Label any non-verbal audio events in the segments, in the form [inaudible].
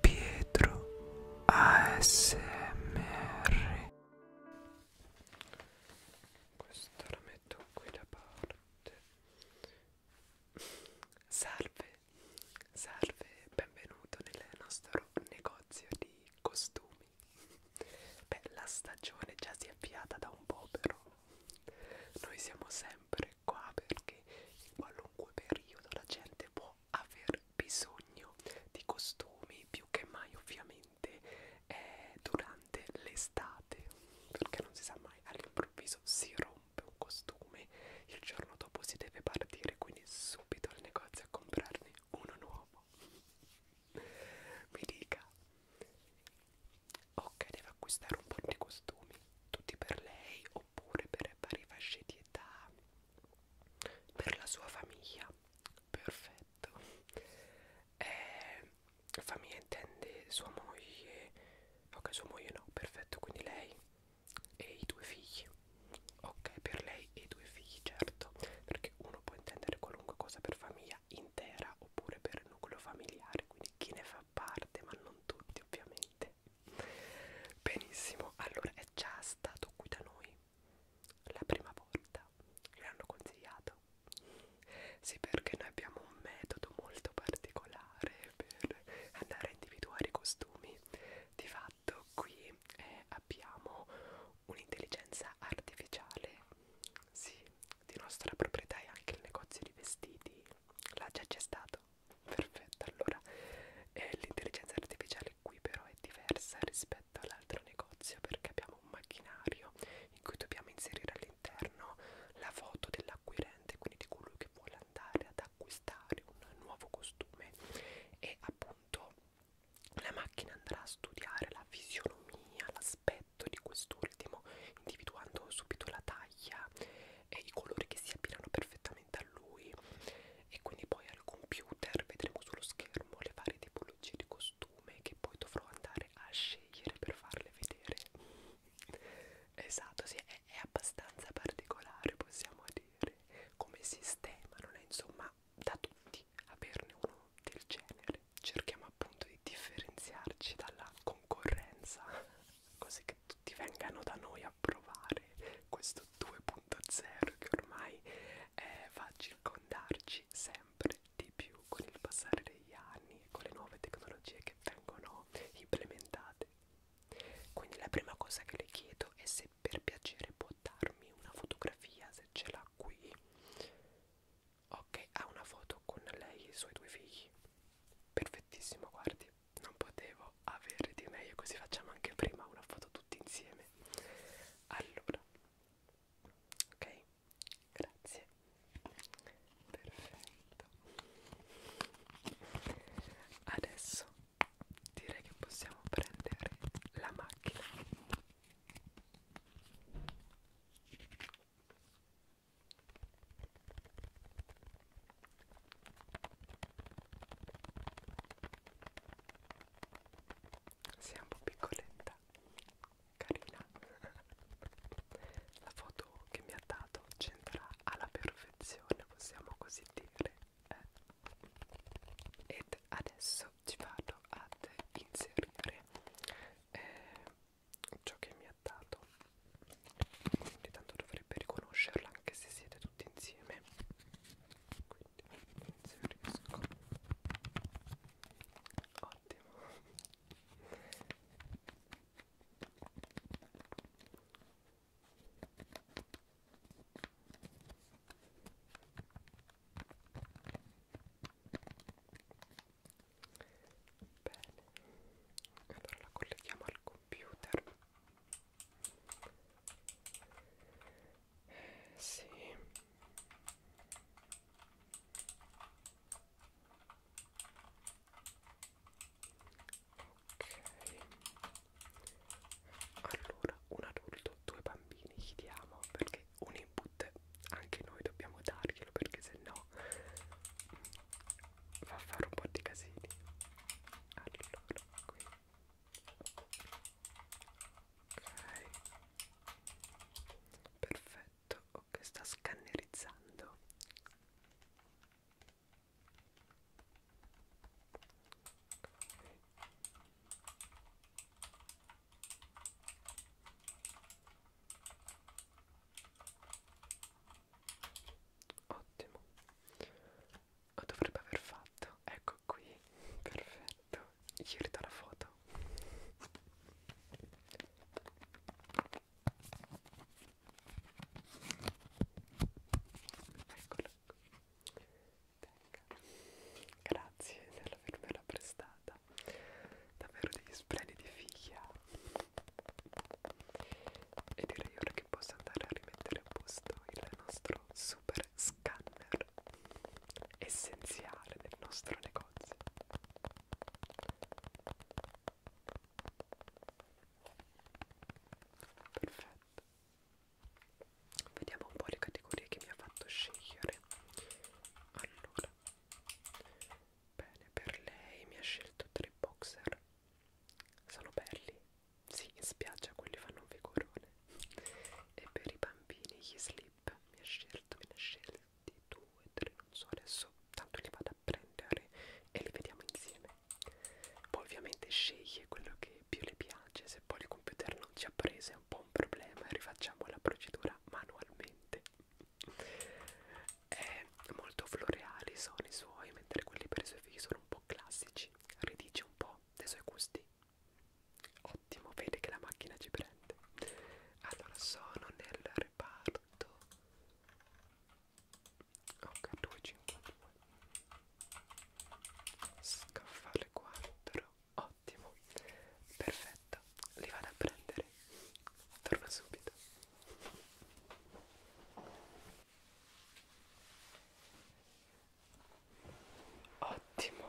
Pietro ASMR Questa la metto qui da parte Salve, salve, benvenuto nel nostro negozio di costumi Beh, la stagione già si è avviata da un po' però Noi siamo sempre sempre qua perché in qualunque periodo la gente può aver bisogno di costumi più che mai ovviamente eh, durante l'estate perché non si sa mai all'improvviso si rompe un costume il giorno dopo si deve partire quindi subito al negozio a comprarne uno nuovo mi dica ok devo acquistare un po' di costumi tutti per lei oppure per varie fasce di età per la sua famiglia perfetto eh, famiglia intende sua moglie ok sua moglie no perfetto quindi lei e i due figli ok per lei e i due figli certo perché uno può intendere qualunque cosa per famiglia intera oppure per nucleo familiare quindi chi ne fa parte ma non tutti ovviamente Benissimo, allora è già stato qui da noi la prima volta, gliel'hanno consigliato. Sì, perché noi abbiamo un metodo molto particolare per andare a individuare i costumi. Di fatto qui eh, abbiamo un'intelligenza artificiale, sì, di nostra proprietà e anche il negozio di vestiti. Là già c'è stato perfetto allora eh, l'intelligenza artificiale qui però è diversa rispetto all'altro negozio perché abbiamo un macchinario in cui dobbiamo inserire all'interno la foto dell'acquirente quindi di colui che vuole andare ad acquistare un nuovo costume e appunto la macchina andrà a studiare la fisionomia l'aspetto di quest'ultimo individuando subito la taglia e i colori che si abbinano perfettamente a lui e quindi poi al computer vedremo sullo schermo le varie tipologie di costume che poi dovrò andare a scegliere per farle vedere esatto sì è, è abbastanza particolare possiamo dire come sistema non è insomma da tutti averne uno del genere cerchiamo appunto di differenziarci dalla concorrenza [laughs] così che che tutti vengano da noi a provare questo 2.0 che ormai eh, va a circondarci sempre di più con il passare degli anni e con le nuove tecnologie che vengono implementate. Quindi la prima cosa che le chiedo è se per piacere può darmi una fotografia se ce l'ha qui. Ok, ha una foto con lei e i suoi due figli. Perfettissimo, guardi non potevo avere di meglio così facciamo anche prima una foto tutti insieme allora ok grazie perfetto adesso direi che possiamo prendere la macchina sei un po' piccoletta, carina. La foto che mi ha dato c'entra alla perfezione, possiamo così dire. Eh. Ed adesso ci vado ad inserire eh, ciò che mi ha dato quindi tanto dovrebbe riconoscerla anche se siete tutti insieme quindi se riesco ottimo Bene, allora la colleghiamo al computer. Eh, sì. Ok. Allora, un adulto, due bambini gli diamo perché un input anche noi dobbiamo darglielo perché se no va a fare un po' di casini allora qui ok perfetto ok sta scannerizzando okay. ok ottimo lo dovrebbe aver fatto ecco qui perfetto gli ridò la foto eccolo grazie dell'avermela prestata davvero degli splendidi figlia ah. E direi ora che posso andare a rimettere a posto il nostro super scanner essenziale del nostro negozio. Perfetto. Vediamo un po' le categorie che mi ha fatto scegliere. Allora, Bene, per lei mi ha scelto tre boxer. Sono belli. Sì, in spiaggia quelli fanno un vigorone. E per i bambini gli slip mi ha scelto, me ne ha scelti due, tre, non so adesso. Tanto li vado a prendere e li vediamo insieme. Poi ovviamente sceglie quello che più le piace. Se poi il computer non ci ha preso è un po' un problema e rifacciamo la procedura manualmente. È molto floreali sono i suoi, mentre quelli per i suoi figli sono un po' classici. Ridice un po' dei suoi gusti. Ottimo, vede che la macchina ci prende. Allora, sono nel reparto H252. Scaffale 4. Ottimo, perfetto. Li vado a prendere. Torno subito. Ottimo,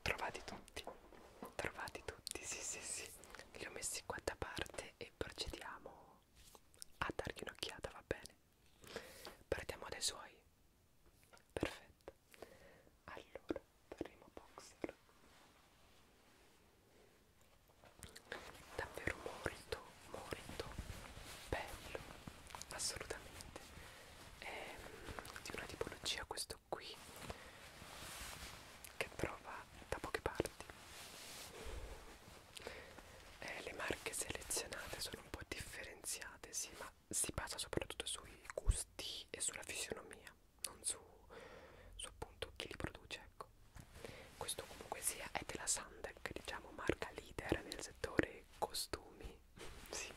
trovati tutti, trovati tutti, sì sì sì, li ho messi qua da parte e procediamo a dargli un'occhiata, va bene? Partiamo dai suoi, perfetto. Allora, primo boxer davvero molto molto bello assolutamente è ehm, di una tipologia questo qui che trova da poche parti eh, le marche selezionate sono un po' differenziate sì ma si basa soprattutto sui gusti e sulla fisionomia storia non su, su appunto chi li produce ecco questo comunque sia è della Sandek diciamo marca leader nel settore costumi [laughs] sì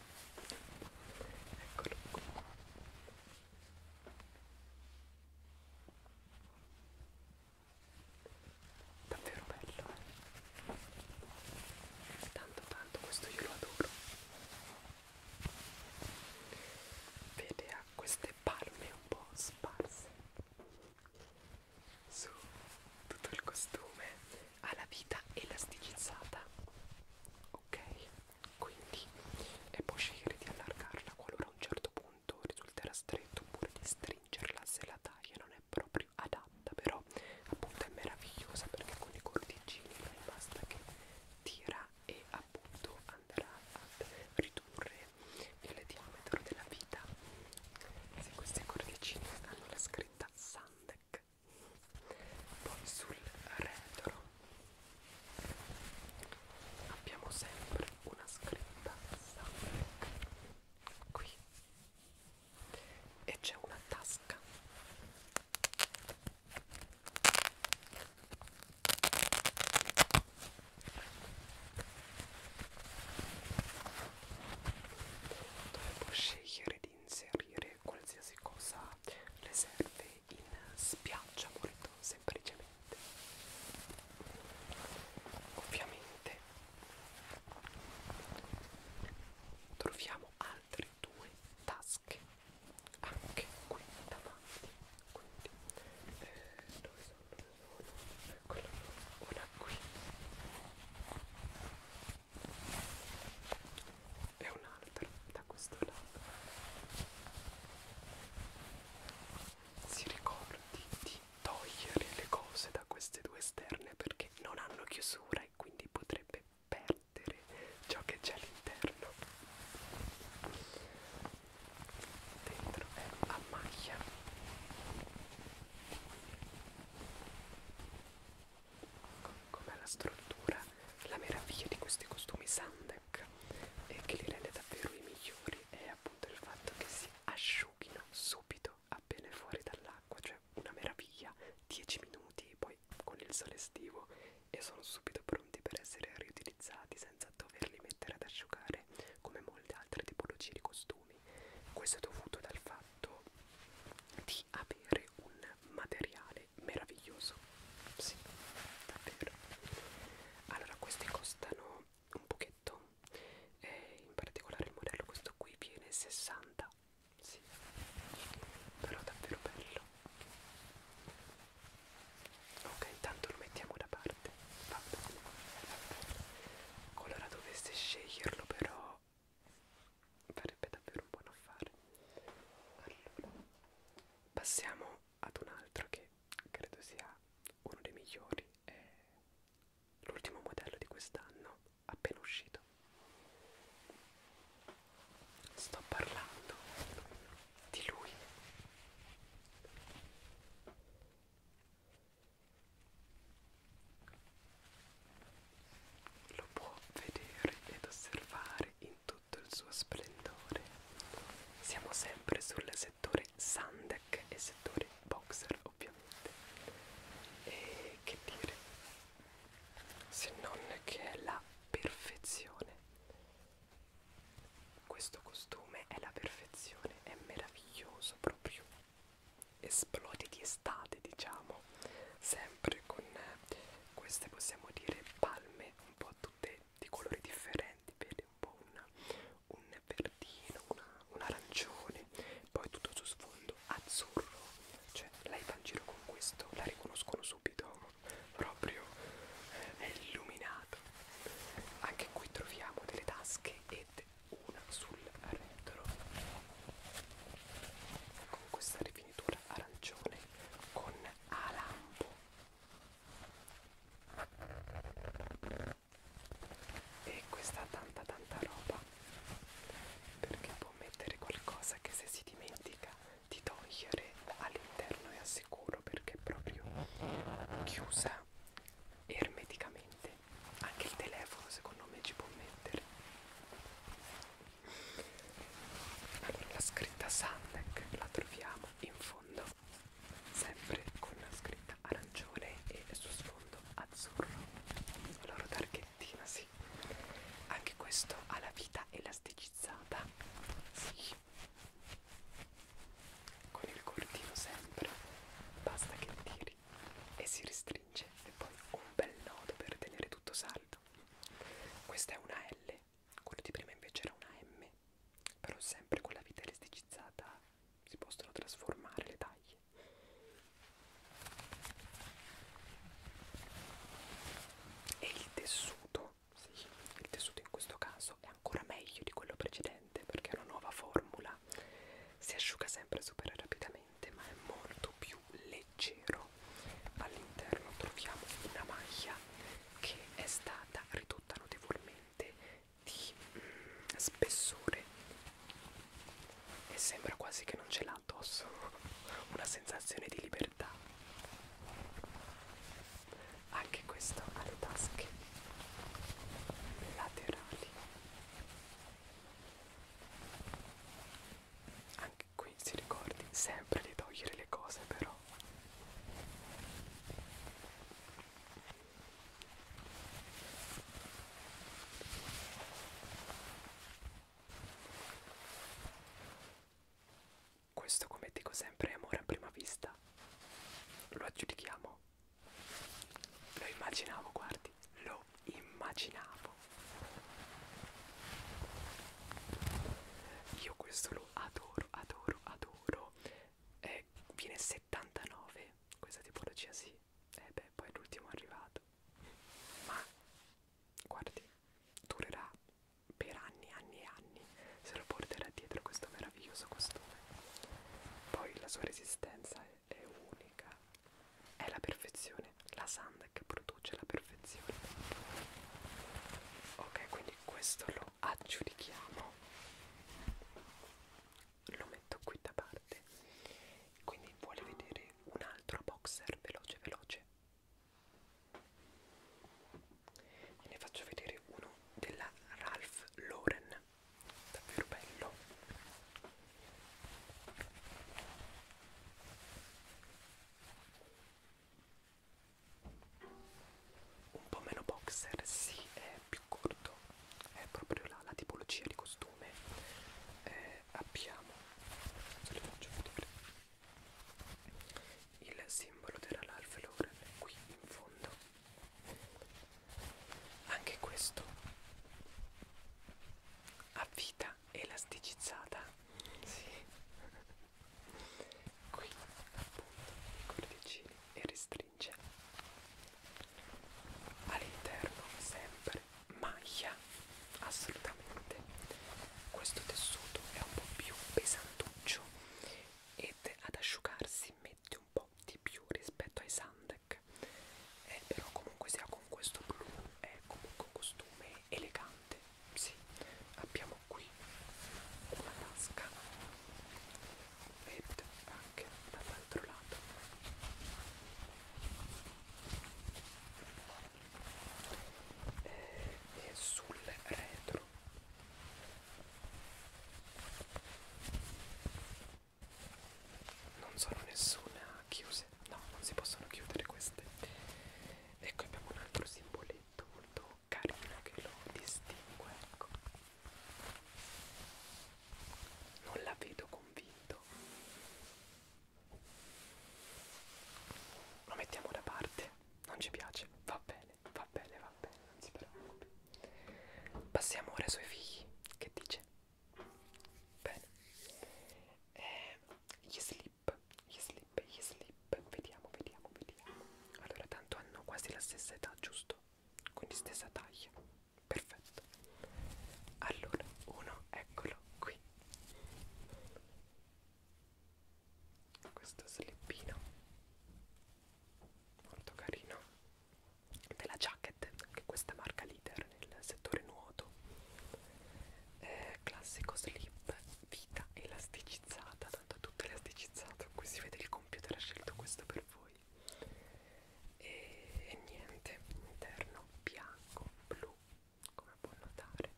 eccolo qua davvero bello eh? tanto tanto questo io lo adoro vede ha queste le palme un po' sparse su tutto il costume ha la vita elasticizzata ok quindi e può scegliere di allargarla qualora a un certo punto risulterà stretto oppure di stringerla se la taglia non è proprio adatta però appunto è meravigliosa perché con i corticini basta che tira e a appunto andrà a ridurre il diametro della vita se queste cordicine hanno la scritta Sandec poi sul retro abbiamo sempre una scritta Sandec qui e c'è una tasca dove puoi scegliere di inserire qualsiasi cosa le serve in spiaggia molto semplicemente ovviamente troviamo altre due tasche anche qui davanti quindi eh, dove sono dove sono eccola una qui e un'altra da questo lato si ricordi di togliere le cose da queste due esterne perché non hanno chiusura e quindi potrebbe perdere ciò che c'è all'interno dentro è a maglia com'è la struttura la meraviglia di questi costumi sandec e che li rende davvero i migliori è appunto il fatto che si asciughino subito appena fuori dall'acqua cioè una meraviglia 10 minuti poi con il sole estivo e sono subito pronti per essere riutilizzati senza doverli mettere ad asciugare come molte altre tipologie di costumi. Questo è dovuto dal fatto di avere un materiale meraviglioso. Sì, davvero. Allora, questi costano un pochetto, e in particolare il modello questo qui viene 60. Sì, però davvero bello ok tanto lo mettiamo da parte va bene qualora dovesse sceglierlo però farebbe davvero un buon affare allora passiamo ad un altro che credo sia uno dei migliori è l'ultimo modello di quest'anno appena uscito sto parlando di lui. Lo può vedere ed osservare in tutto il suo splendore. Siamo sempre sul settore Sandec e settore Boxer ovviamente. E che dire? Se non che è la perfezione questo costume è la perfezione, è meraviglioso proprio. Esplode di estate, diciamo, sempre con eh, queste possiamo dire palme un po' tutte di colori differenti, vedi un po' una, un verdino, una, un arancione, poi tutto su sfondo azzurro, cioè lei va in giro con questo, la riconoscono subito proprio eh, è illuminato anche qui troviamo delle tasche ed una sul retro con questa rifinitura arancione con a lampo e questa tanta tanta roba perché può mettere qualcosa che se si dimentica di togliere all'interno è assicurato sicuro perché è proprio chiusa ermeticamente anche il telefono secondo me ci può mettere allora la scritta Sandec la troviamo in fondo sempre con la scritta arancione e il suo sfondo azzurro la loro targhettina sì anche questo ha la vita elasticizzata sì con il cordino sempre basta che tiri e si restringe e poi un bel nodo per tenere tutto saldo questa è una L quello di prima invece era una M però sempre con la vita elasticizzata si possono trasformare le taglie e il tessuto sì, il tessuto in questo caso è ancora meglio di quello precedente perché è una nuova formula. Si asciuga sempre super rapidamente, ma è molto più leggero. All'interno troviamo una maglia che è stata ridotta notevolmente di mm, spessore e sembra quasi che non ce l'ha addosso. [laughs] Una sensazione di libertà libertà anche questo ha le tasche laterali anche qui si ricordi sempre di togliere le cose però questo, come dico sempre, è amore a prima vista. Lo aggiudichiamo. Lo immaginavo, guardi, lo immaginavo. Io questo lo adoro, adoro, adoro. Eh, viene 79 questa tipologia, sì. E eh beh, poi l'ultimo è arrivato. Ma guardi, durerà per anni, anni e anni se lo porterà dietro questo meraviglioso costume. Poi la sua resistenza è, è unica, è la perfezione, la sand che produce la perfezione. Ok, quindi questo lo aggiudichiamo, lo metto qui da parte. Quindi vuole vedere un altro boxer veloce veloce? e ne faccio vedere uno della Ralph Lauren davvero bello un po' meno boxer sì è più corto è proprio la, la tipologia di costume eh, abbiamo se le faccio vedere il simbolo dell'Alf Lauren qui in fondo anche questo a vita elasticizzata sì. [laughs] qui appunto i cordicini e restringe all'interno sempre maglia assolutamente assolutamente questo tessuto è un po' più pesantuccio ed ad asciugarsi mette un po' di più rispetto ai sandec eh, però comunque sia con questo blu è comunque un costume elegante sì abbiamo qui una tasca ed anche dall'altro lato eh, e sul retro non sono nessuna chiuse no non si possono chiudere queste ecco abbiamo un altro simboletto molto carino che lo distingue ecco non la vedo convinto lo mettiamo da parte non ci piace, va bene, va bene, va bene, non si preoccupi. Passiamo ora ai suoi figli, che dice? Bene, eh, gli slip, gli slip, gli slip, vediamo, vediamo, vediamo. Allora, tanto hanno quasi la stessa età, giusto? Quindi stessa taglia, perfetto. Allora, uno, eccolo qui questo slippino molto carino della jacket anche questa marca leader nel settore nuoto eh, classico slip vita elasticizzata tanto è tutto elasticizzato qui si vede il computer ha scelto questo per voi e, e niente interno bianco blu come può notare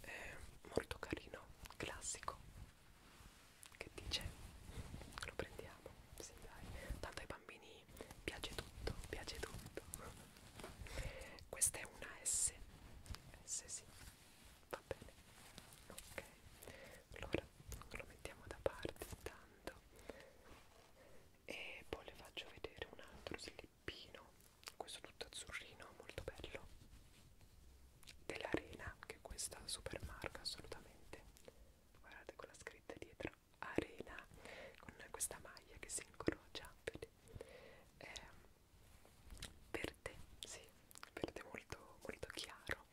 è molto carino classico che dice lo prendiamo sì, dai. tanto ai bambini piace tutto piace tutto questa è una S S sì va bene ok allora lo mettiamo da parte intanto e poi le faccio vedere un altro slip Peppino, questo tutto azzurrino, molto bello. Dell'Arena, che è questa super marca assolutamente. Guardate con la scritta dietro, Arena, con questa maglia che si incrocia, vedi? È verde, sì, verde molto, molto chiaro.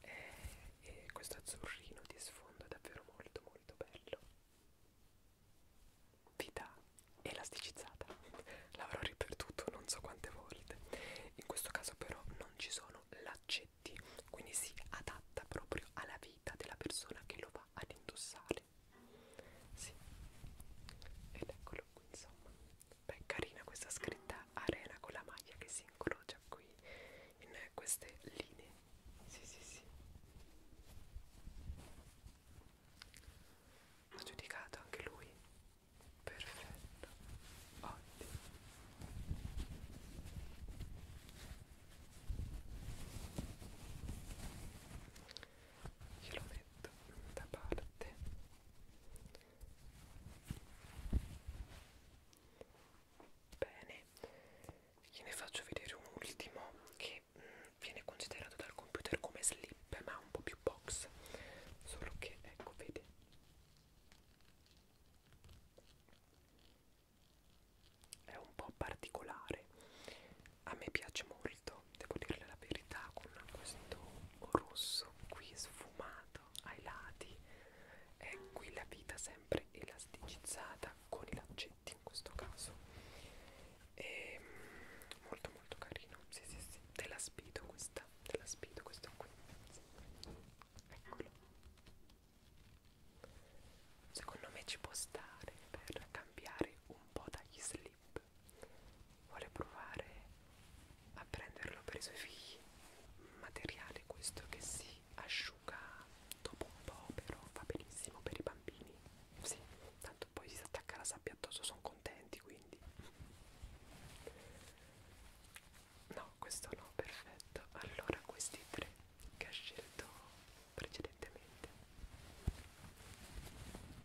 E, e questo azzurrino di sfondo è davvero molto molto bello vita elasticizzata l'avrò ripetuto non so quante volte in questo caso però non ci sono laccetti quindi si adatta proprio alla vita della persona che lo va ad indossare sì. ed eccolo qui insomma beh carina questa scritta arena con la maglia che si incrocia qui in queste linee sì sì sì ha giudicato anche lui perfetto ottimo glielo metto da parte bene gliene faccio vedere un ultimo che che mh, viene considerato dal computer come slip ma un po' più box solo che ecco vede è un po' particolare a me piace molto devo dirle la verità con questo rosso qui sfumato ai lati e qui la vita sempre elasticizzata con i laccetti dolcetti in questo caso e ehm, molto molto carino sì sì sì te la spido questa te la spido questo qui sì. eccolo secondo me ci può stare per cambiare un po' dagli slip vuole provare a prenderlo per i suoi figli materiale questo che si asciuga dopo un po' però va benissimo per i bambini sì tanto poi si attacca la sabbia addosso sono contenti quindi no questo no perfetto allora questi tre che ha scelto precedentemente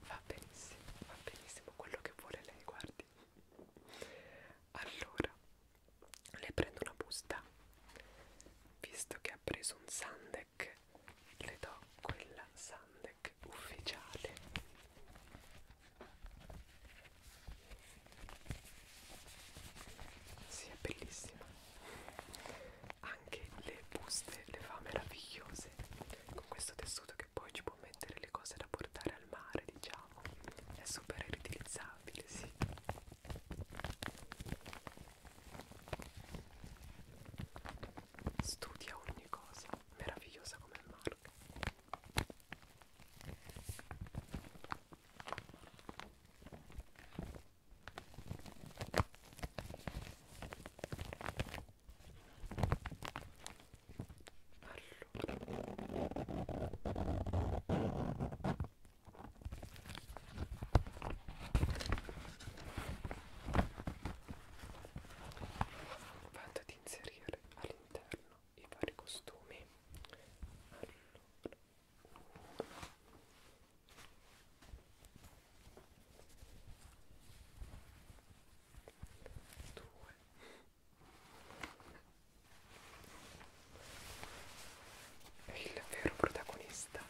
va benissimo va benissimo quello che vuole lei guardi allora le prendo una busta visto che ha preso un sundae Sandek le do quella Sandek ufficiale si sì, è bellissima anche le buste le fa meravigliose con questo tessuto che poi ci può mettere le cose da portare al mare diciamo è super riutilizzabile sì Studia ogni cosa, meravigliosa come il Mark. Allora vado ad inserire all'interno i vari costumi allora uno due il vero protagonista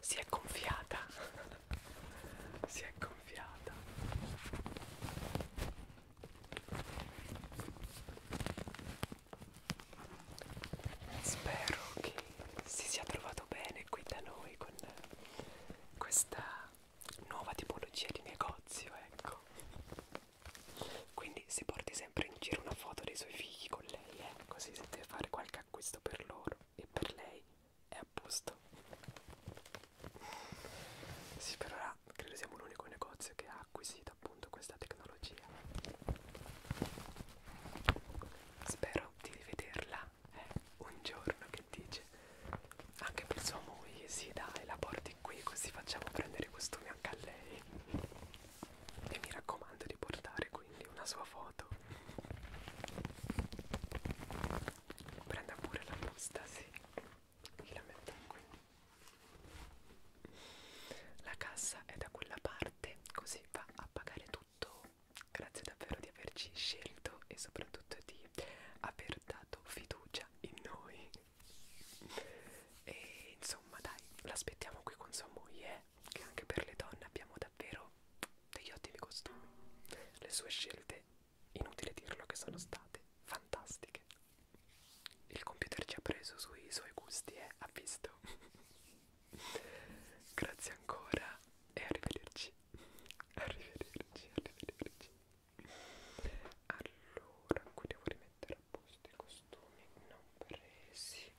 si è gonfiata [laughs] si è gonfiata spero che si sia trovato bene qui da noi con questa nuova tipologia di negozio ecco quindi si porti sempre in giro una foto dei suoi figli con lei eh? così se deve fare qualche che acquisto per loro e per lei è a posto. Sì, per ora credo siamo l'unico negozio che ha acquisito appunto questa tecnologia. Spero di rivederla eh, un giorno che dice anche per sua moglie, sì dai, la porti qui così facciamo prendere i costumi anche a lei. E mi raccomando di portare quindi una sua foto prenda pure la busta sì e la metta qui la cassa è da quella parte così va a pagare tutto grazie davvero di averci scelto e soprattutto di aver dato fiducia in noi e insomma dai l'aspettiamo qui con sua moglie eh, che anche per le donne abbiamo da davvero degli ottimi costumi. Le sue scelte, inutile dirlo che sono state fantastiche. Il computer ci ha preso sui suoi gusti e eh? ha visto. [laughs] Grazie ancora e arrivederci. Arrivederci, arrivederci. Allora, qui devo rimettere a posto i costumi non presi.